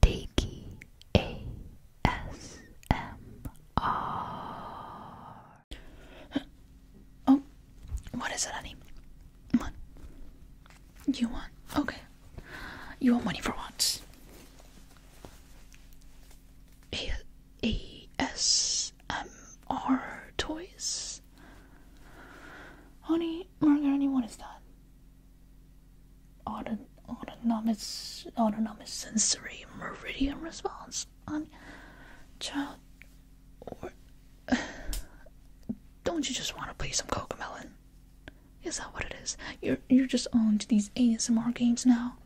Tiki Oh, what is it, honey? You want? Okay. You want money for once. A S um, are toys. Honey, Margarine, what is that? Auton autonomous, autonomous sensory meridian response on child. Or, don't you just want to play some Cocomelon? Is that what it is? You're you're just on to these ASMR games now.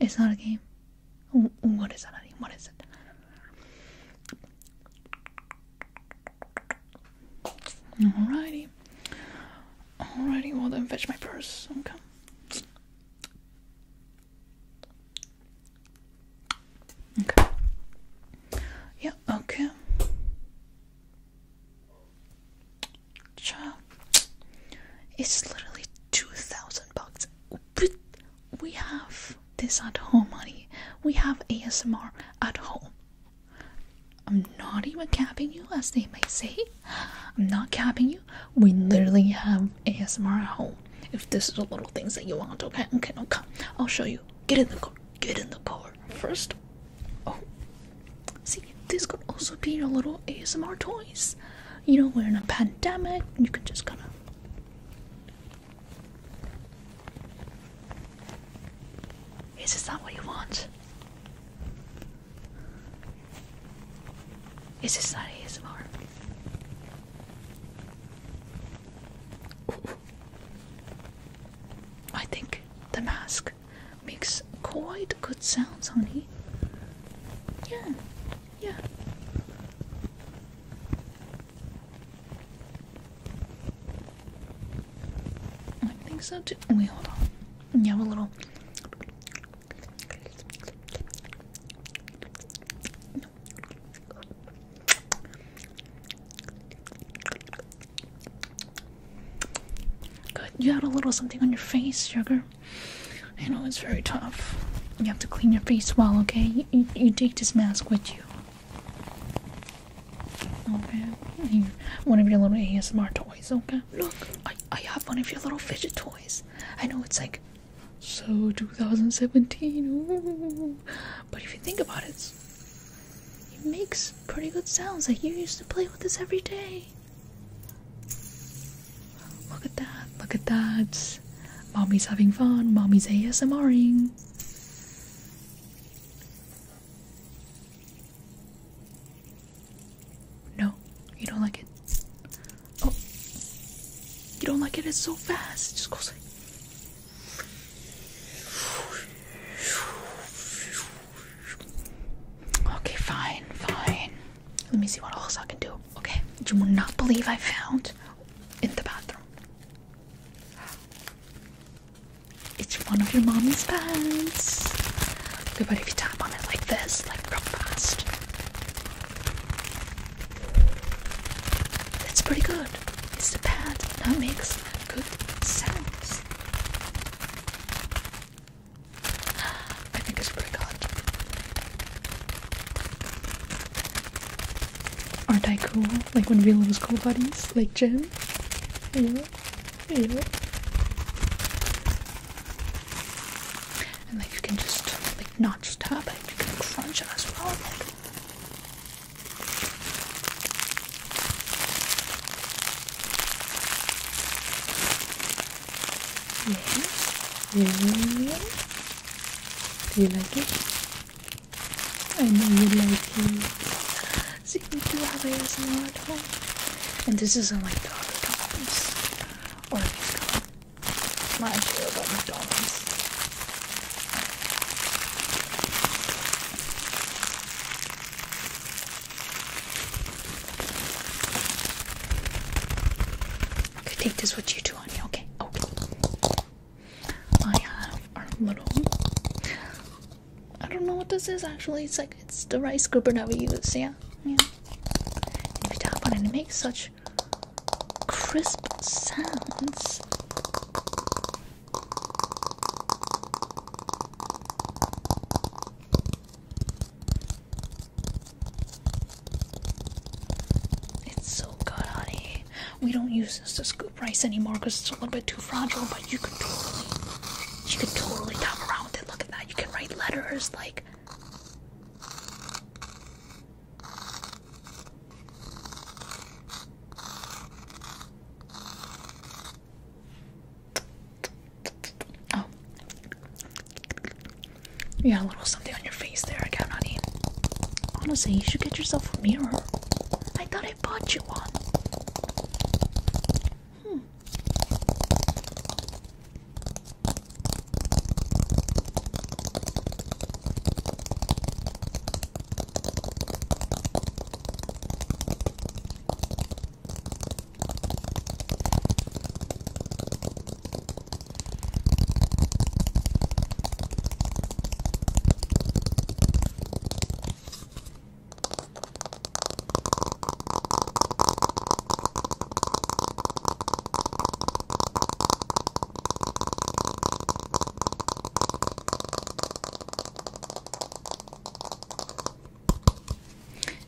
It's not a game. What is that, What is it? Alrighty. Alrighty, well then fetch my purse. Okay. Okay. Yeah, okay. Child. It's literally two thousand bucks we have this at home, honey. We have ASMR at home. I'm not even capping you, as they may say. I'm not capping you. We literally have ASMR at home. If this is the little things that you want, okay, okay, okay. I'll show you. Get in the car. Get in the car first. Oh, see, this could also be your little ASMR toys. You know, we're in a pandemic. You can just kind of is this not what you want? Is this not ASMR? Ooh. I think the mask makes quite good sounds, honey. Yeah, yeah. I think so too. Wait, hold on. You a little. Good. You had a little something on your face, sugar. I know it's very tough. You have to clean your face well, okay? You, you, take this mask with you. Okay? one of your little ASMR toys, okay? Look, I, I have one of your little fidget toys. I know it's like so 2017. But if you think about it, it makes pretty good sounds. Like you used to play with this every day. Look at that. Look at that. Mommy's having fun. Mommy's ASMRing. No, you don't like it. Oh, you don't like it. It's so fast. It just goes like. Okay, fine, fine. Let me see what else I can do. Okay, you will not believe I found in the bathroom. It's one of your mommy's pants. but if you tap on it like this, like real fast, that's pretty good. It's the pad that makes good sounds. I think it's pretty good. Aren't I cool? Like when we lose cool buddies, like Jim? Yeah. Yeah. And like you can just like not stop it, you can crunch it as well. Like. Yeah. Yes. Do you like it? I know you like it. See, we do have ASMR at home. And this isn't like other dolphins. Or these My idea about McDonald's. I think this what you too. Okay. Oh. I have our little. I don't know what this is actually. It's like it's the rice scooper that we use. Yeah. Yeah. And you tap on it, and it makes such crisp sounds. It's so good, honey. We don't use this to scoop rice anymore because it's a little bit too fragile, but you could totally, you could totally come around with it. Look at that. You can write letters like. Oh. You got a little something on your face there, I got on it. Honestly, you should get yourself a mirror. I thought I bought you one. Hmm.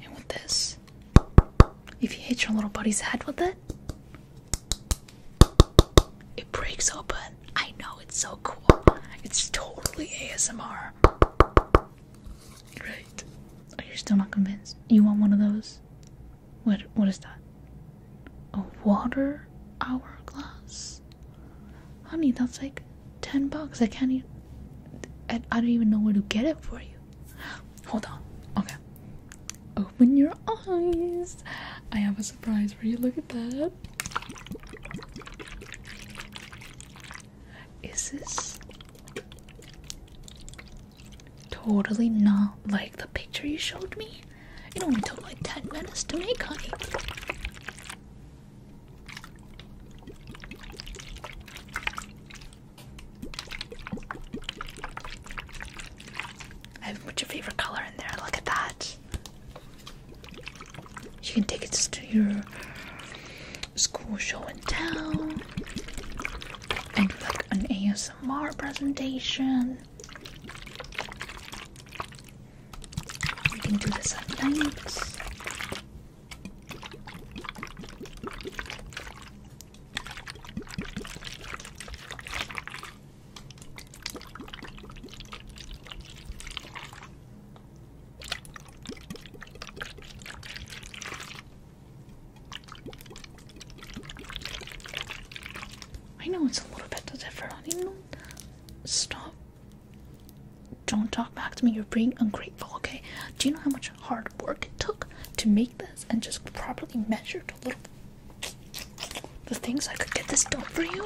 And with this, if you hit your little buddy's head with it, it breaks open. I know it's so cool. It's totally ASMR. Right. Are you still not convinced? You want one of those? What what is that? A water hourglass? Honey, that's like ten bucks. I can't even I, I don't even know where to get it for you. Hold on. Okay. Open your eyes. I have a surprise for you. Look at that. Is this totally not like the picture you showed me? You It only took like 10 minutes to make, honey. I put your favorite color in there? Look at that. You can take it to your school show and tell, and do like an ASMR presentation. You can do this at night. I know it's a little bit different. You know, stop. Don't talk back to me. You're being ungrateful. Okay. Do you know how much hard work it took to make this and just properly measured a little the things I could get this done for you.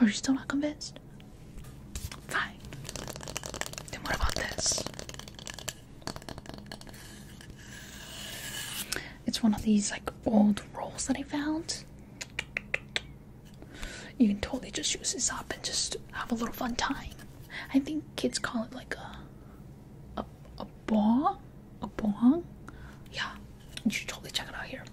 Are you still not convinced? Fine. Then what about this? It's one of these like old rolls that I found. You can totally just use this up and just have a little fun tying. I think kids call it like a a a bong, a bong. Yeah, you should totally check it out here.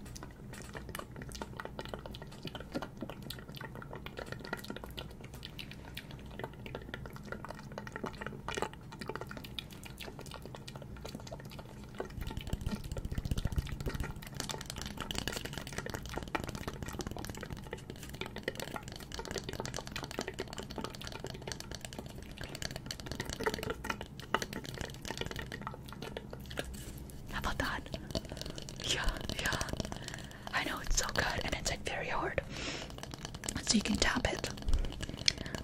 How about that? Yeah, yeah. I know it's so good and it's like very hard. So you can tap it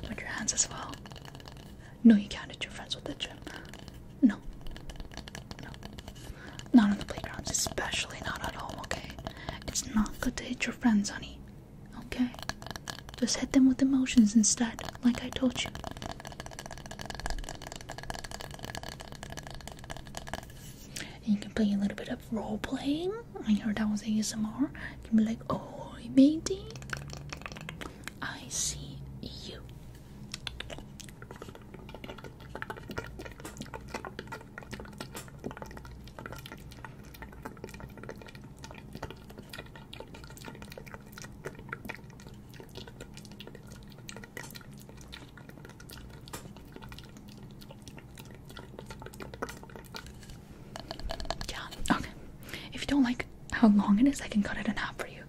with your hands as well. No, you can't hit your friends with the gym. No. No. Not on the playgrounds, especially not at home, okay? It's not good to hit your friends, honey. Okay? Just hit them with emotions instead, like I told you. you can play a little bit of role playing. I heard that was ASMR. You can be like, oh, matey, I see you. Yeah, okay. If you don't like how long it is, I can cut it in half for you.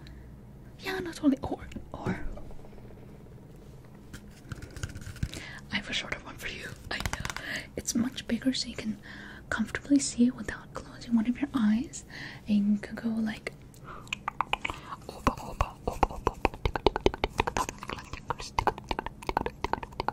Yeah, not only Or, or. I have a shorter one for you. I know. It's much bigger so you can comfortably see it without closing one of your eyes. And go like.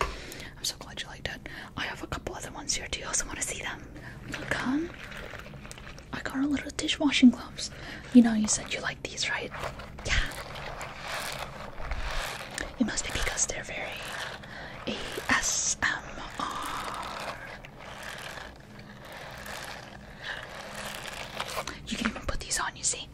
I'm so glad you liked it. I have a couple other ones here. Do you also want to see them? Come. I got a little dishwashing gloves. You know, you said you like these, right? Yeah. It must be because they're very ASMR. You can even put these on, you see?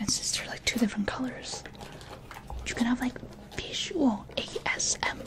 And since they're like two different colors, you can have like visual ASMR.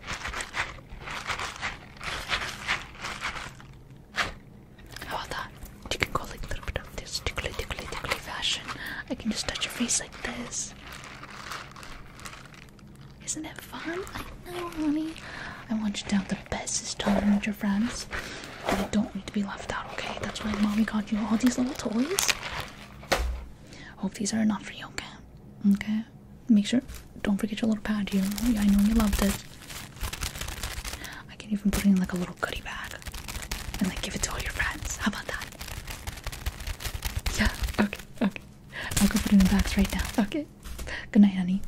How oh, about that? You can go tickly tickly tickly fashion. I can just touch your face like this. Isn't it fun? I know, honey. I want you to have the bestest time with your friends. And you don't need to be left out, okay? That's why mommy got you all these little toys. Hope these are enough for you, okay? Okay? Make sure, don't forget your little pad. You, I know you loved it. I can even put it in like a little goodie bag and like give it to all your friends. How about that? Yeah. Okay. Okay. I'll go put it in the bags right now. Okay. Good night, honey.